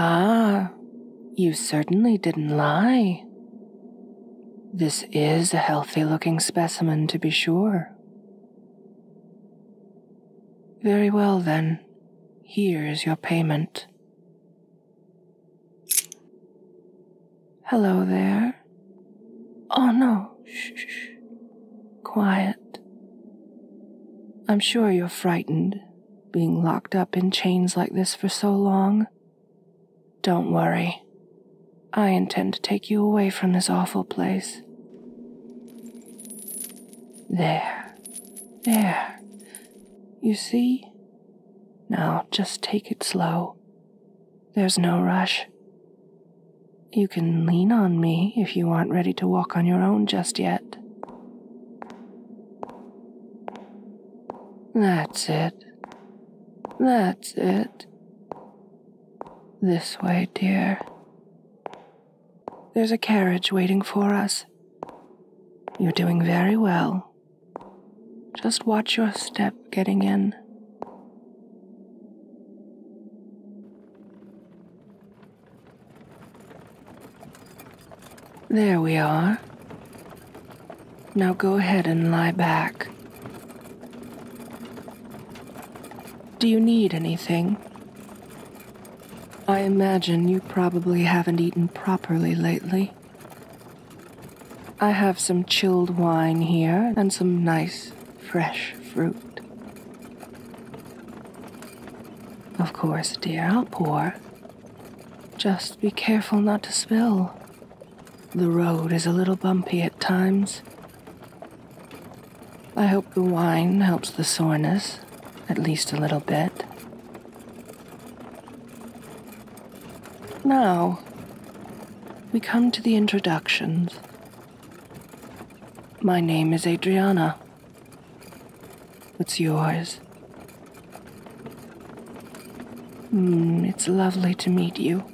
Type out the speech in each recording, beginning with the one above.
Ah, you certainly didn't lie. This is a healthy looking specimen, to be sure. Very well, then. Here is your payment. Hello there. Oh no, shh, Quiet. I'm sure you're frightened, being locked up in chains like this for so long. Don't worry. I intend to take you away from this awful place. There. There. You see? Now just take it slow. There's no rush. You can lean on me if you aren't ready to walk on your own just yet. That's it. That's it. This way, dear. There's a carriage waiting for us. You're doing very well. Just watch your step getting in. There we are. Now go ahead and lie back. Do you need anything? I imagine you probably haven't eaten properly lately. I have some chilled wine here and some nice fresh fruit. Of course, dear, I'll pour. Just be careful not to spill. The road is a little bumpy at times. I hope the wine helps the soreness, at least a little bit. Now, we come to the introductions. My name is Adriana. What's yours? Hmm, it's lovely to meet you.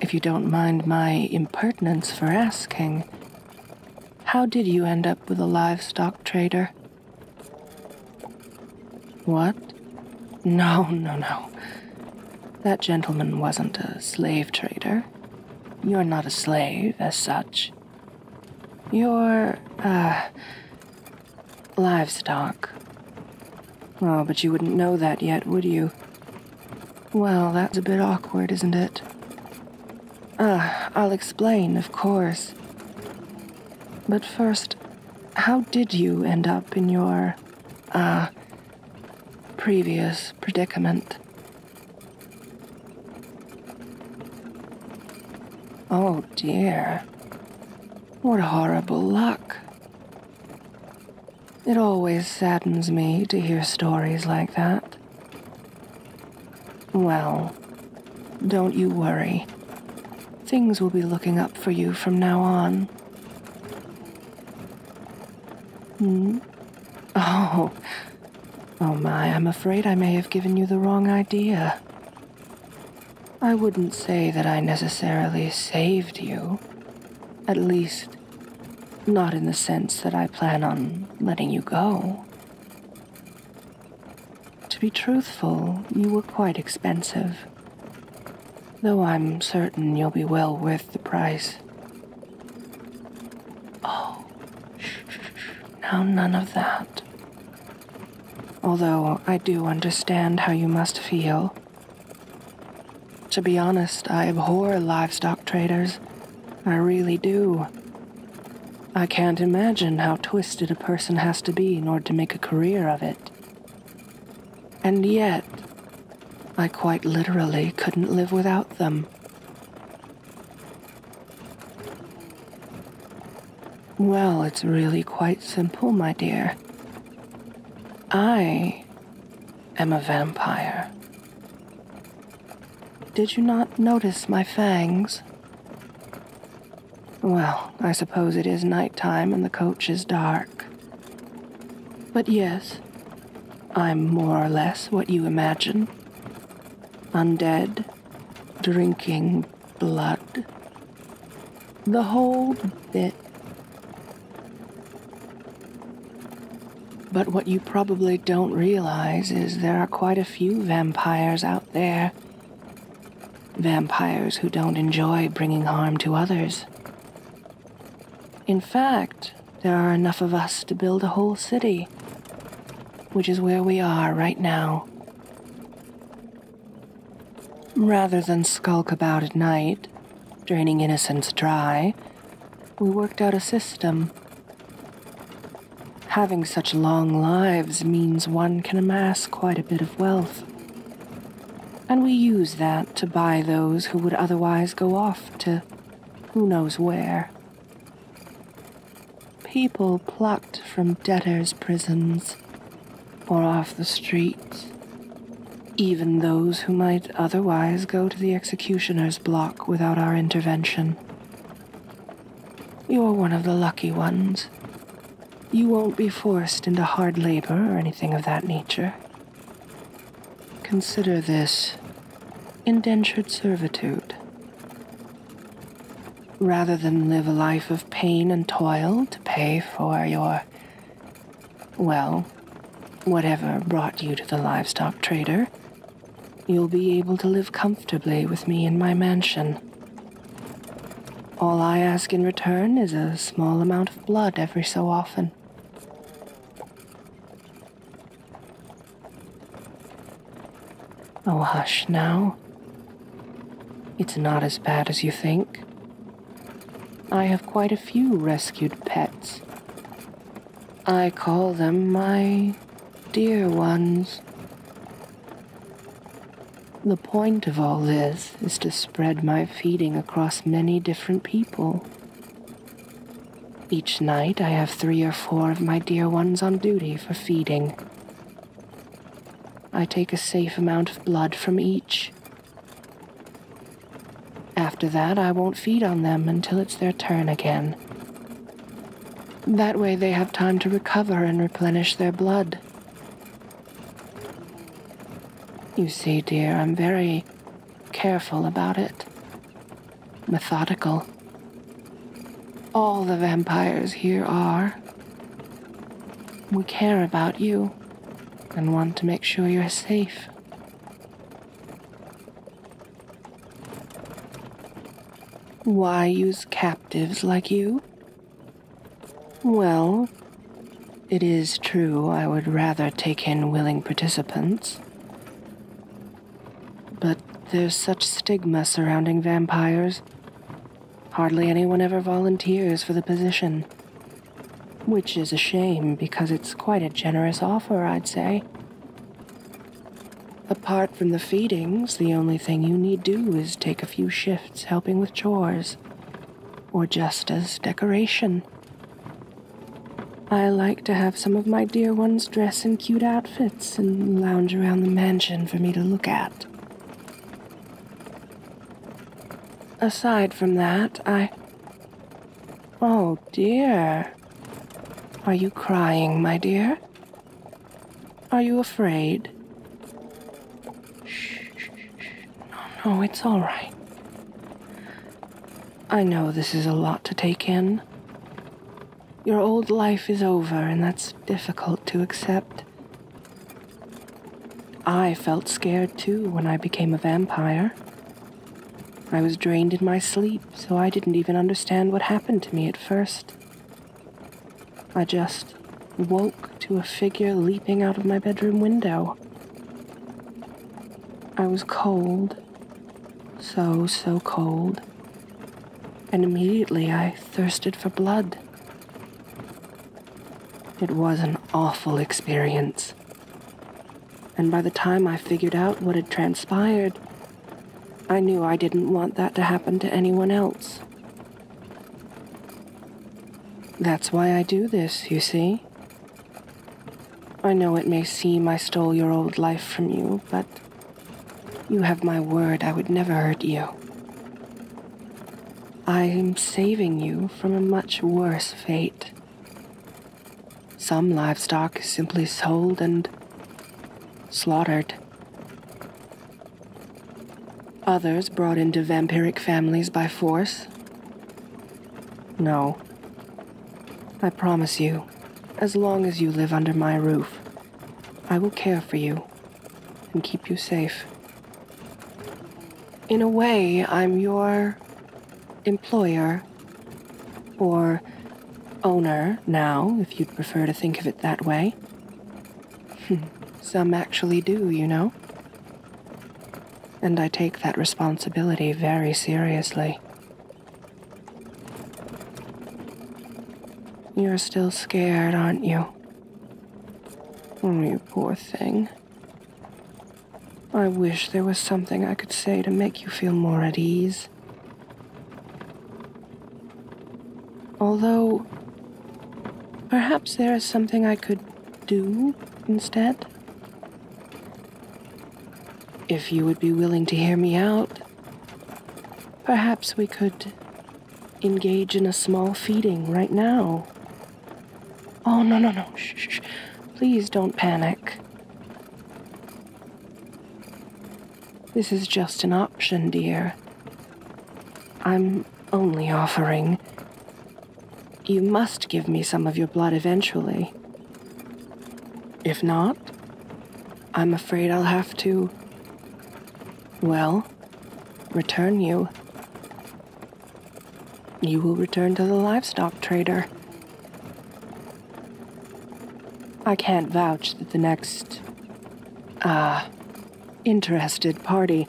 If you don't mind my impertinence for asking, how did you end up with a livestock trader? What? No, no, no. That gentleman wasn't a slave trader. You're not a slave as such. You're, uh, livestock. Oh, but you wouldn't know that yet, would you? Well, that's a bit awkward, isn't it? Ah, I'll explain, of course. But first, how did you end up in your, uh, previous predicament? Oh dear. What horrible luck. It always saddens me to hear stories like that. Well, don't you worry. Things will be looking up for you from now on. Hmm? Oh. Oh my, I'm afraid I may have given you the wrong idea. I wouldn't say that I necessarily saved you. At least, not in the sense that I plan on letting you go. To be truthful, you were quite expensive. Though I'm certain you'll be well worth the price. Oh, now none of that. Although I do understand how you must feel. To be honest, I abhor livestock traders. I really do. I can't imagine how twisted a person has to be in order to make a career of it. And yet, I quite literally couldn't live without them. Well, it's really quite simple, my dear. I am a vampire. Did you not notice my fangs? Well, I suppose it is night time and the coach is dark. But yes, I'm more or less what you imagine undead, drinking blood. The whole bit. But what you probably don't realize is there are quite a few vampires out there Vampires who don't enjoy bringing harm to others. In fact, there are enough of us to build a whole city, which is where we are right now. Rather than skulk about at night, draining innocents dry, we worked out a system. Having such long lives means one can amass quite a bit of wealth. And we use that to buy those who would otherwise go off to who knows where. People plucked from debtors' prisons or off the streets, even those who might otherwise go to the executioner's block without our intervention. You're one of the lucky ones, you won't be forced into hard labor or anything of that nature. Consider this indentured servitude. Rather than live a life of pain and toil to pay for your, well, whatever brought you to the livestock trader, you'll be able to live comfortably with me in my mansion all I ask in return is a small amount of blood every so often. Oh, hush now. It's not as bad as you think. I have quite a few rescued pets. I call them my dear ones. The point of all this is to spread my feeding across many different people. Each night I have three or four of my dear ones on duty for feeding. I take a safe amount of blood from each. After that, I won't feed on them until it's their turn again. That way, they have time to recover and replenish their blood. You see, dear, I'm very careful about it. Methodical. All the vampires here are. We care about you and want to make sure you're safe. Why use captives like you? Well, it is true I would rather take in willing participants. But there's such stigma surrounding vampires. Hardly anyone ever volunteers for the position. Which is a shame because it's quite a generous offer, I'd say. Apart from the feedings, the only thing you need do is take a few shifts helping with chores, or just as decoration. I like to have some of my dear ones dress in cute outfits and lounge around the mansion for me to look at. Aside from that, I. Oh dear. Are you crying, my dear? Are you afraid? No, it's all right. I know this is a lot to take in. Your old life is over, and that's difficult to accept. I felt scared too when I became a vampire. I was drained in my sleep, so I didn't even understand what happened to me at first. I just woke to a figure leaping out of my bedroom window. I was cold, so, so cold, and immediately I thirsted for blood. It was an awful experience. And by the time I figured out what had transpired, I knew I didn't want that to happen to anyone else. That's why I do this, you see. I know it may seem I stole your old life from you, but you have my word I would never hurt you. I am saving you from a much worse fate. Some livestock is simply sold and slaughtered. Others brought into vampiric families by force? No. I promise you, as long as you live under my roof, I will care for you and keep you safe. In a way, I'm your employer or owner now, if you'd prefer to think of it that way. Some actually do, you know and I take that responsibility very seriously. You're still scared, aren't you? Oh, you poor thing. I wish there was something I could say to make you feel more at ease. Although, perhaps there is something I could do instead? If you would be willing to hear me out, perhaps we could engage in a small feeding right now. Oh, no, no, no. Shh, shh, shh. Please don't panic. This is just an option, dear. I'm only offering you must give me some of your blood eventually. If not, I'm afraid I'll have to. Well, return you. You will return to the livestock trader. I can't vouch that the next. ah. interested party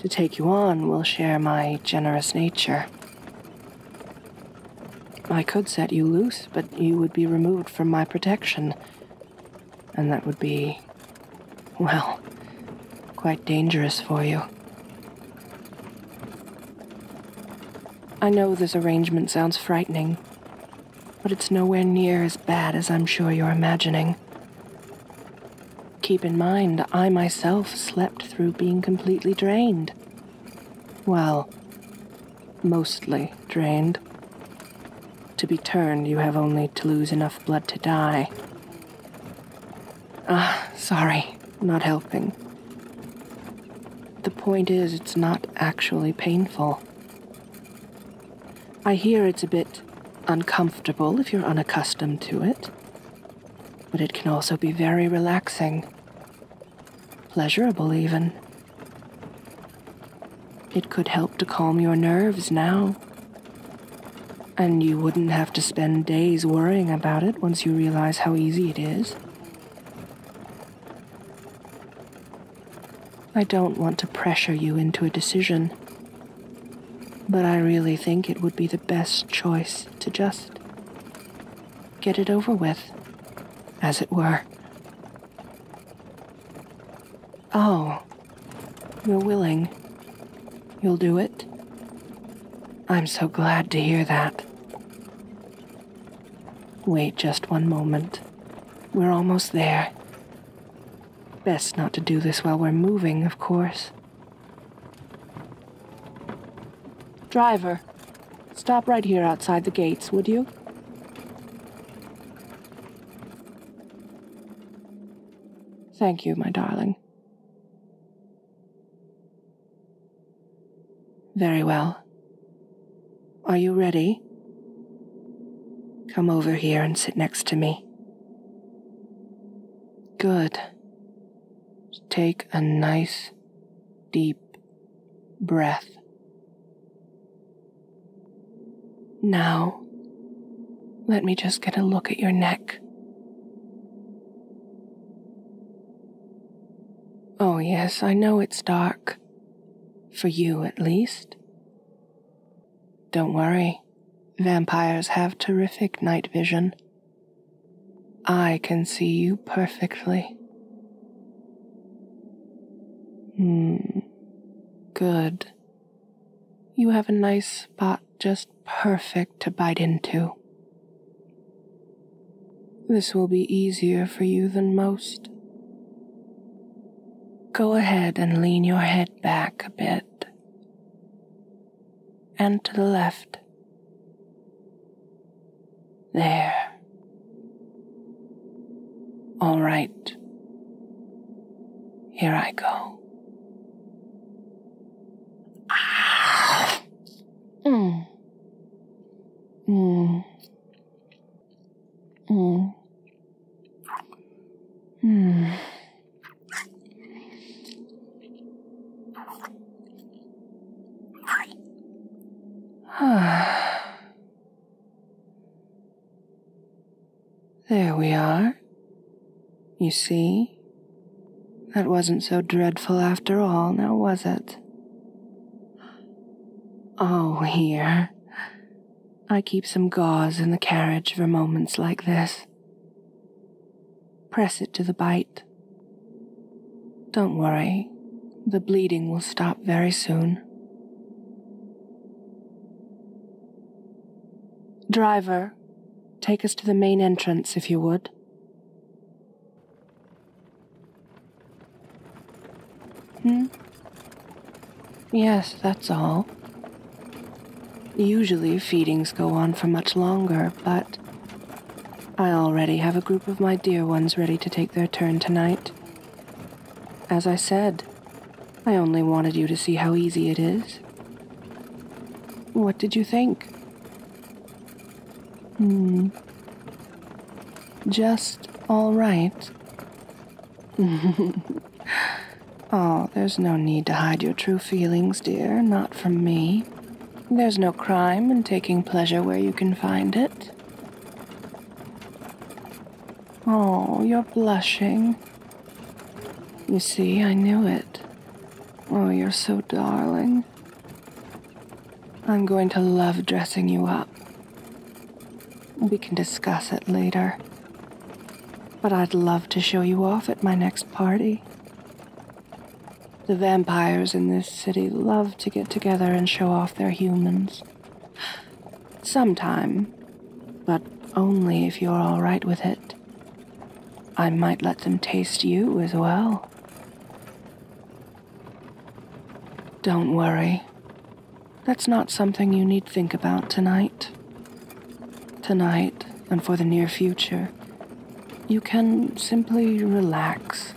to take you on will share my generous nature. I could set you loose, but you would be removed from my protection. And that would be, well, quite dangerous for you. I know this arrangement sounds frightening, but it's nowhere near as bad as I'm sure you're imagining. Keep in mind, I myself slept through being completely drained. Well, mostly drained. To be turned, you have only to lose enough blood to die. Ah, sorry, not helping. The point is, it's not actually painful. I hear it's a bit uncomfortable if you're unaccustomed to it, but it can also be very relaxing, pleasurable even. It could help to calm your nerves now. And you wouldn't have to spend days worrying about it once you realize how easy it is. I don't want to pressure you into a decision. But I really think it would be the best choice to just get it over with, as it were. Oh, you're willing. You'll do it? I'm so glad to hear that. Wait just one moment. We're almost there. Best not to do this while we're moving, of course. Driver, stop right here outside the gates, would you? Thank you, my darling. Very well. Are you ready? Come over here and sit next to me. Good. Take a nice deep breath. Now, let me just get a look at your neck. Oh, yes, I know it's dark. For you, at least. Don't worry, vampires have terrific night vision. I can see you perfectly. Hmm. Good. You have a nice spot just perfect to bite into. This will be easier for you than most. Go ahead and lean your head back a bit and to the left. There. All right. Here I go. Ah. Mm. Mm. Mm. Hmm. there we are. You see? That wasn't so dreadful after all, now was it? Oh, here. I keep some gauze in the carriage for moments like this. Press it to the bite. Don't worry, the bleeding will stop very soon. Driver, take us to the main entrance if you would. Hmm? Yes, that's all. Usually feedings go on for much longer, but I already have a group of my dear ones ready to take their turn tonight. As I said, I only wanted you to see how easy it is. What did you think? Hmm. Just all right. oh, there's no need to hide your true feelings, dear, not from me. There's no crime in taking pleasure where you can find it. Oh, you're blushing. You see, I knew it. Oh, you're so darling. I'm going to love dressing you up. We can discuss it later. But I'd love to show you off at my next party. The vampires in this city love to get together and show off their humans. Sometime, but only if you're all right with it. I might let them taste you as well. Don't worry. That's not something you need think about tonight. Tonight, and for the near future, you can simply relax.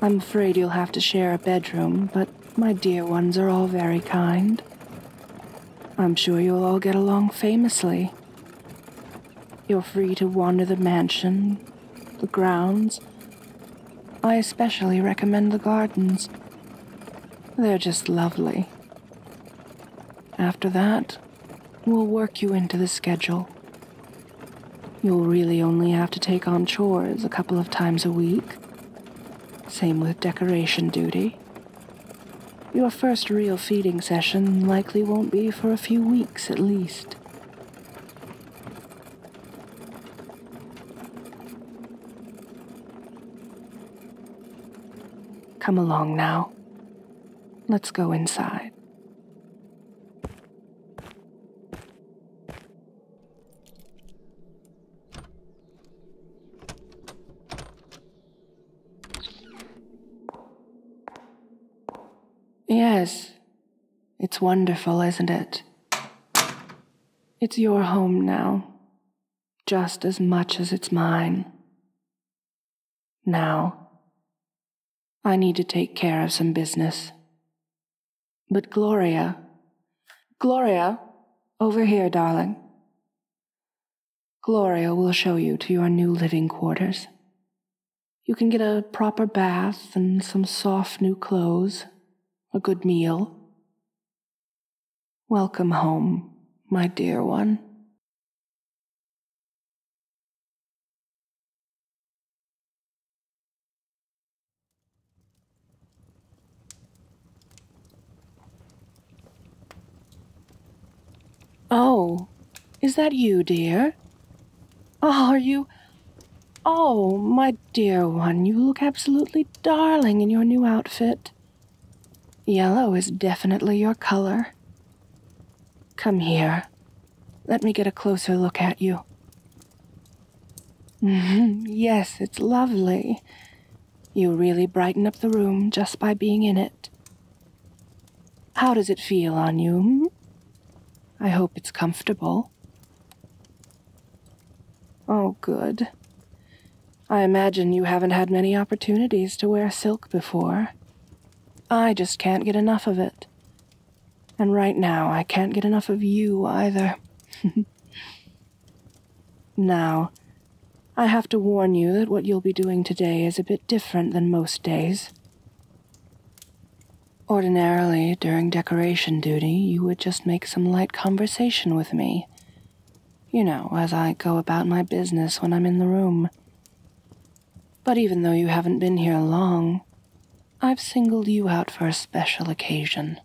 I'm afraid you'll have to share a bedroom, but my dear ones are all very kind. I'm sure you'll all get along famously. You're free to wander the mansion, the grounds. I especially recommend the gardens. They're just lovely. After that, we'll work you into the schedule. You'll really only have to take on chores a couple of times a week. Same with decoration duty. Your first real feeding session likely won't be for a few weeks at least. Come along now. Let's go inside. Yes, it's wonderful, isn't it? It's your home now, just as much as it's mine. Now, I need to take care of some business. But Gloria, Gloria, over here, darling. Gloria will show you to your new living quarters. You can get a proper bath and some soft new clothes, a good meal. Welcome home, my dear one. Oh, is that you, dear? Oh, are you? Oh, my dear one, you look absolutely darling in your new outfit. Yellow is definitely your color. Come here. Let me get a closer look at you. Mm-hmm. yes, it's lovely. You really brighten up the room just by being in it. How does it feel on you? I hope it's comfortable. Oh, good. I imagine you haven't had many opportunities to wear silk before. I just can't get enough of it. And right now, I can't get enough of you either. now, I have to warn you that what you'll be doing today is a bit different than most days. Ordinarily, during decoration duty, you would just make some light conversation with me. You know, as I go about my business when I'm in the room. But even though you haven't been here long, I've singled you out for a special occasion.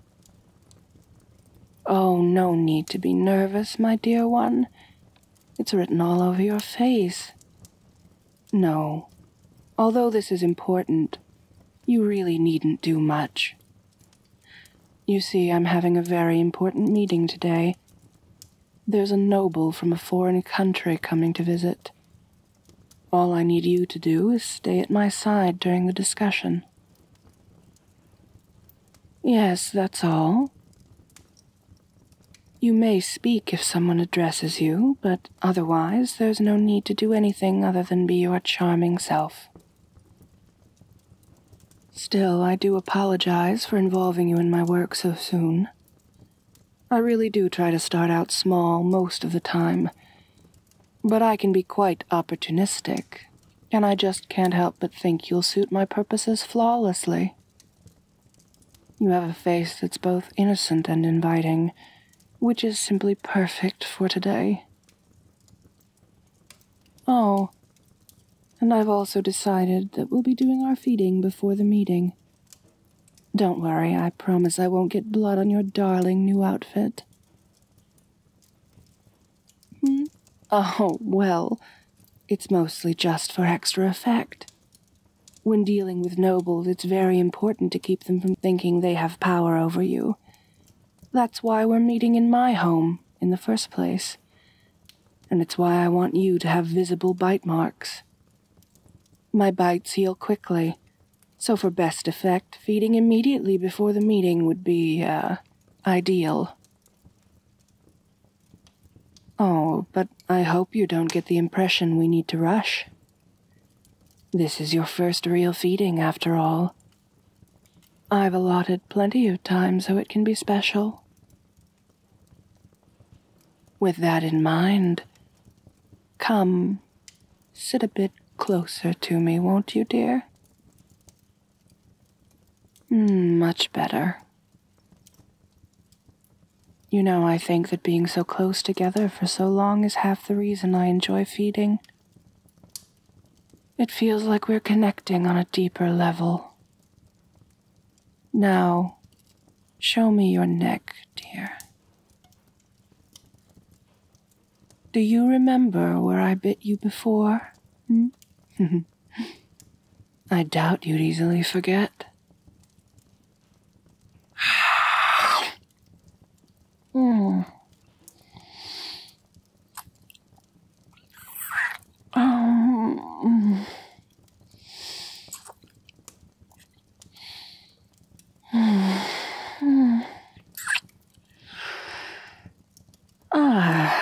Oh, no need to be nervous, my dear one. It's written all over your face. No, although this is important, you really needn't do much. You see, I'm having a very important meeting today, there's a noble from a foreign country coming to visit. All I need you to do is stay at my side during the discussion. Yes, that's all. You may speak if someone addresses you, but otherwise there's no need to do anything other than be your charming self. Still, I do apologize for involving you in my work so soon. I really do try to start out small most of the time. But I can be quite opportunistic, and I just can't help but think you'll suit my purposes flawlessly. You have a face that's both innocent and inviting, which is simply perfect for today. Oh, and I've also decided that we'll be doing our feeding before the meeting. Don't worry, I promise I won't get blood on your darling new outfit. Hmm? Oh, well, it's mostly just for extra effect. When dealing with nobles, it's very important to keep them from thinking they have power over you. That's why we're meeting in my home in the first place and it's why I want you to have visible bite marks. My bites heal quickly, so for best effect, feeding immediately before the meeting would be, uh, ideal. Oh, but I hope you don't get the impression we need to rush. This is your first real feeding, after all. I've allotted plenty of time so it can be special. With that in mind, come sit a bit closer to me, won't you, dear? Hmm, much better. You know, I think that being so close together for so long is half the reason I enjoy feeding. It feels like we're connecting on a deeper level. Now, show me your neck, dear. Do you remember where I bit you before? Hmm? I doubt you'd easily forget. mm. um. Ah.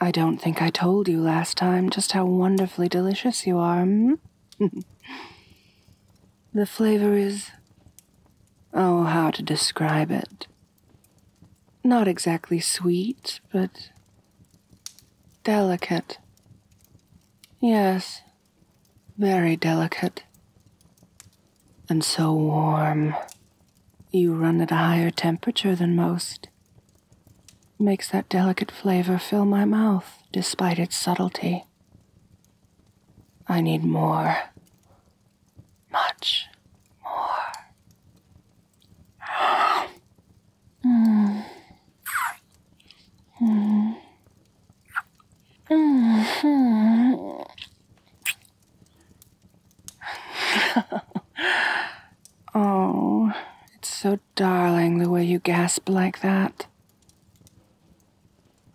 I don't think I told you last time just how wonderfully delicious you are. Hmm? the flavor is. Oh, how to describe it? Not exactly sweet, but Delicate. Yes, very delicate. And so warm. You run at a higher temperature than most. Makes that delicate flavor fill my mouth despite its subtlety. I need more. Much more. oh, it's so darling the way you gasp like that.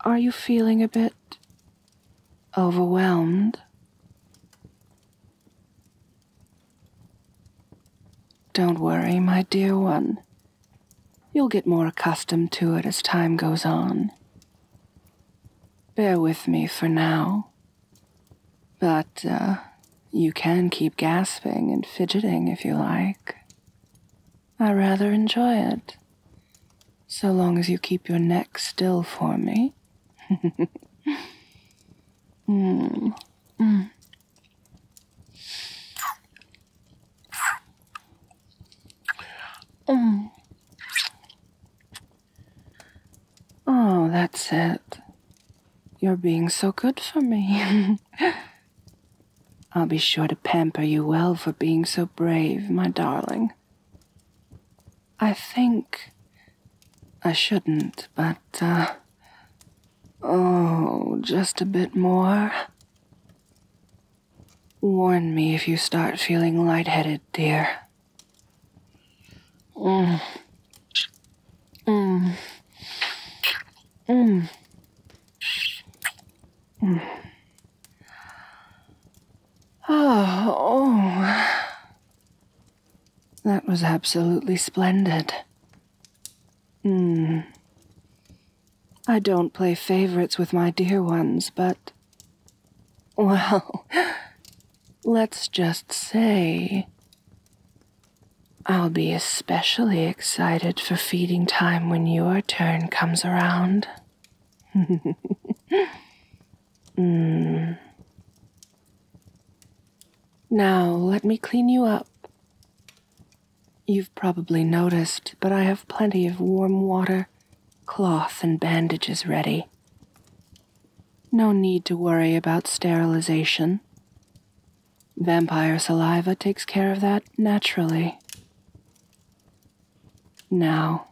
Are you feeling a bit overwhelmed? Don't worry, my dear one. You'll get more accustomed to it as time goes on. Bear with me for now. But uh, you can keep gasping and fidgeting if you like. I rather enjoy it, so long as you keep your neck still for me. Hmm. Hmm. Mm. Oh, that's it. You're being so good for me. I'll be sure to pamper you well for being so brave, my darling. I think I shouldn't, but uh, Oh, just a bit more. Warn me if you start feeling lightheaded, dear. Mm. Mm. Mm. Mm. oh. That was absolutely splendid. Hmm. I don't play favorites with my dear ones, but. Well, let's just say. I'll be especially excited for feeding time when your turn comes around. mm. Now let me clean you up. You've probably noticed, but I have plenty of warm water, cloth, and bandages ready. No need to worry about sterilization. Vampire saliva takes care of that naturally. Now,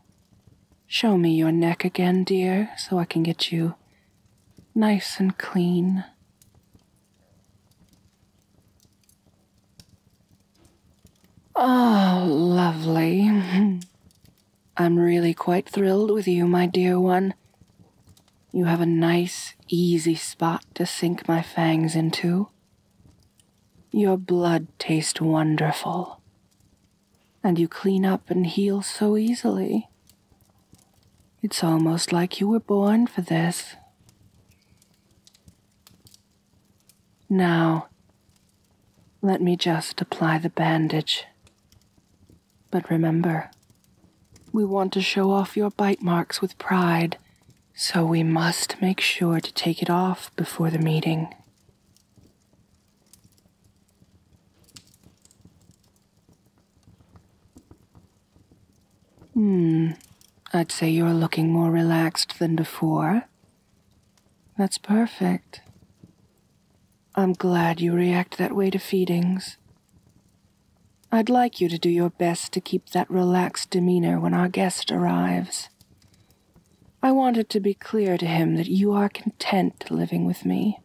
show me your neck again, dear, so I can get you nice and clean Oh, lovely. I'm really quite thrilled with you, my dear one. You have a nice, easy spot to sink my fangs into. Your blood tastes wonderful. And you clean up and heal so easily. It's almost like you were born for this. Now, let me just apply the bandage. But remember, we want to show off your bite marks with pride, so we must make sure to take it off before the meeting. Hmm. I'd say you're looking more relaxed than before. That's perfect. I'm glad you react that way to feedings. I'd like you to do your best to keep that relaxed demeanor when our guest arrives. I want it to be clear to him that you are content living with me.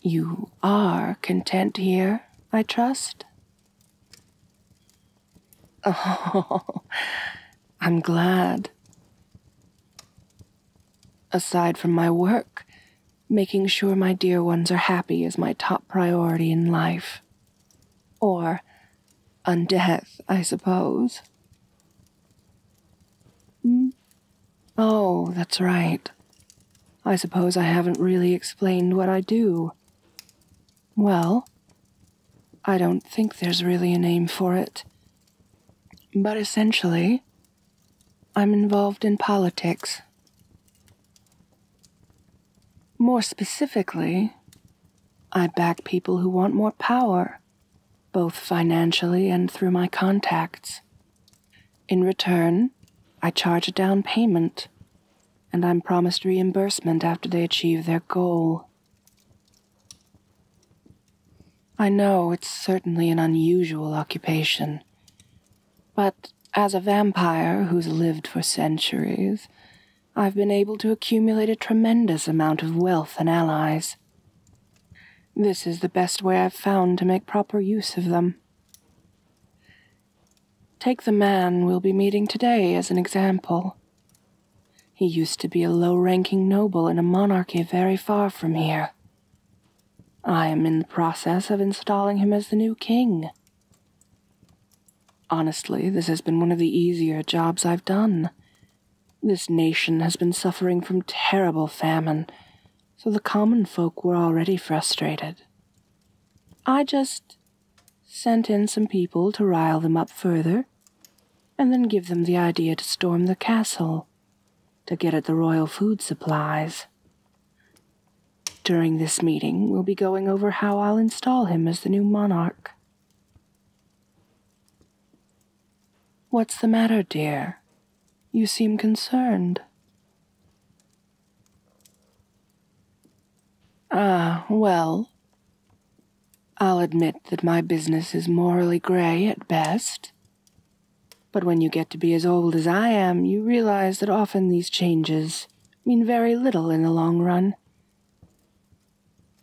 You are content here, I trust? Oh, I'm glad. Aside from my work, making sure my dear ones are happy is my top priority in life. Or on death, I suppose. Hmm? Oh, that's right. I suppose I haven't really explained what I do. Well, I don't think there's really a name for it. But essentially, I'm involved in politics. More specifically, I back people who want more power, both financially and through my contacts. In return, I charge a down payment, and I'm promised reimbursement after they achieve their goal. I know it's certainly an unusual occupation, but as a vampire who's lived for centuries, I've been able to accumulate a tremendous amount of wealth and allies. This is the best way I've found to make proper use of them. Take the man we'll be meeting today as an example. He used to be a low ranking noble in a monarchy very far from here. I am in the process of installing him as the new king. Honestly, this has been one of the easier jobs I've done. This nation has been suffering from terrible famine, so the common folk were already frustrated. I just sent in some people to rile them up further, and then give them the idea to storm the castle to get at the royal food supplies. During this meeting, we'll be going over how I'll install him as the new monarch. What's the matter, dear? You seem concerned. Ah, well, I'll admit that my business is morally gray at best. But when you get to be as old as I am, you realize that often these changes mean very little in the long run.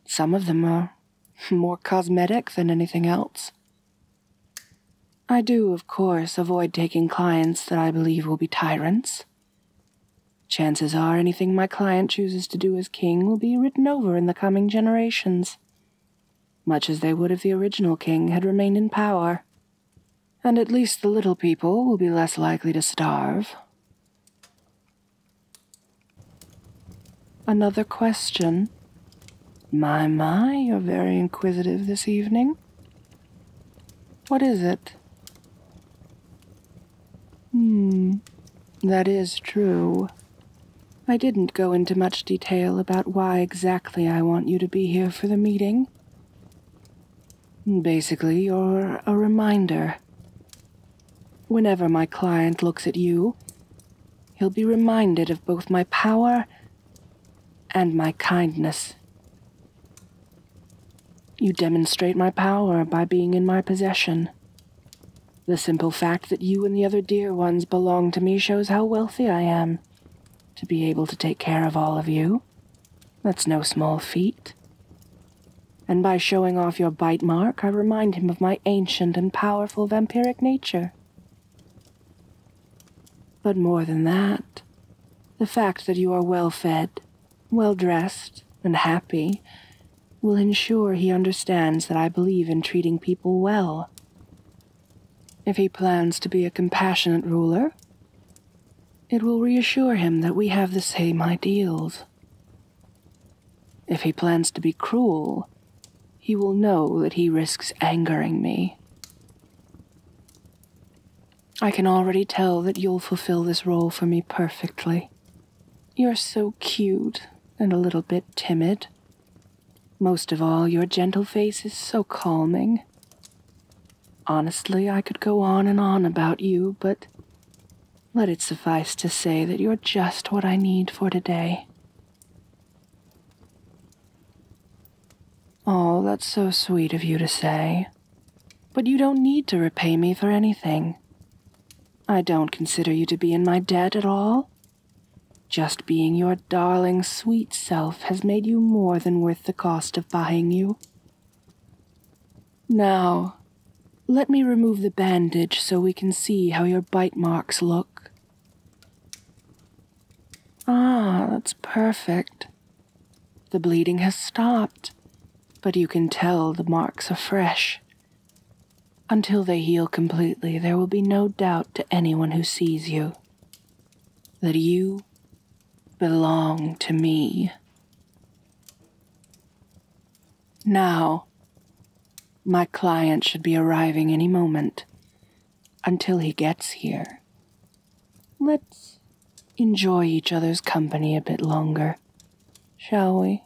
Some of them are more cosmetic than anything else. I do, of course, avoid taking clients that I believe will be tyrants. Chances are anything my client chooses to do as king will be written over in the coming generations, much as they would if the original king had remained in power. And at least the little people will be less likely to starve. Another question? My, my, you're very inquisitive this evening. What is it? Hmm, that is true. I didn't go into much detail about why exactly I want you to be here for the meeting. Basically, you're a reminder. Whenever my client looks at you, he'll be reminded of both my power and my kindness. You demonstrate my power by being in my possession. The simple fact that you and the other dear ones belong to me shows how wealthy I am. To be able to take care of all of you, that's no small feat. And by showing off your bite mark, I remind him of my ancient and powerful vampiric nature. But more than that, the fact that you are well fed, well dressed, and happy will ensure he understands that I believe in treating people well. If he plans to be a compassionate ruler, it will reassure him that we have the same ideals. If he plans to be cruel, he will know that he risks angering me. I can already tell that you'll fulfill this role for me perfectly. You're so cute and a little bit timid. Most of all, your gentle face is so calming. Honestly, I could go on and on about you, but let it suffice to say that you're just what I need for today. Oh, that's so sweet of you to say. But you don't need to repay me for anything. I don't consider you to be in my debt at all. Just being your darling, sweet self has made you more than worth the cost of buying you. Now, let me remove the bandage so we can see how your bite marks look. Ah, that's perfect. The bleeding has stopped, but you can tell the marks are fresh. Until they heal completely, there will be no doubt to anyone who sees you that you belong to me. Now, my client should be arriving any moment. Until he gets here, Let's enjoy each other's company a bit longer, shall we?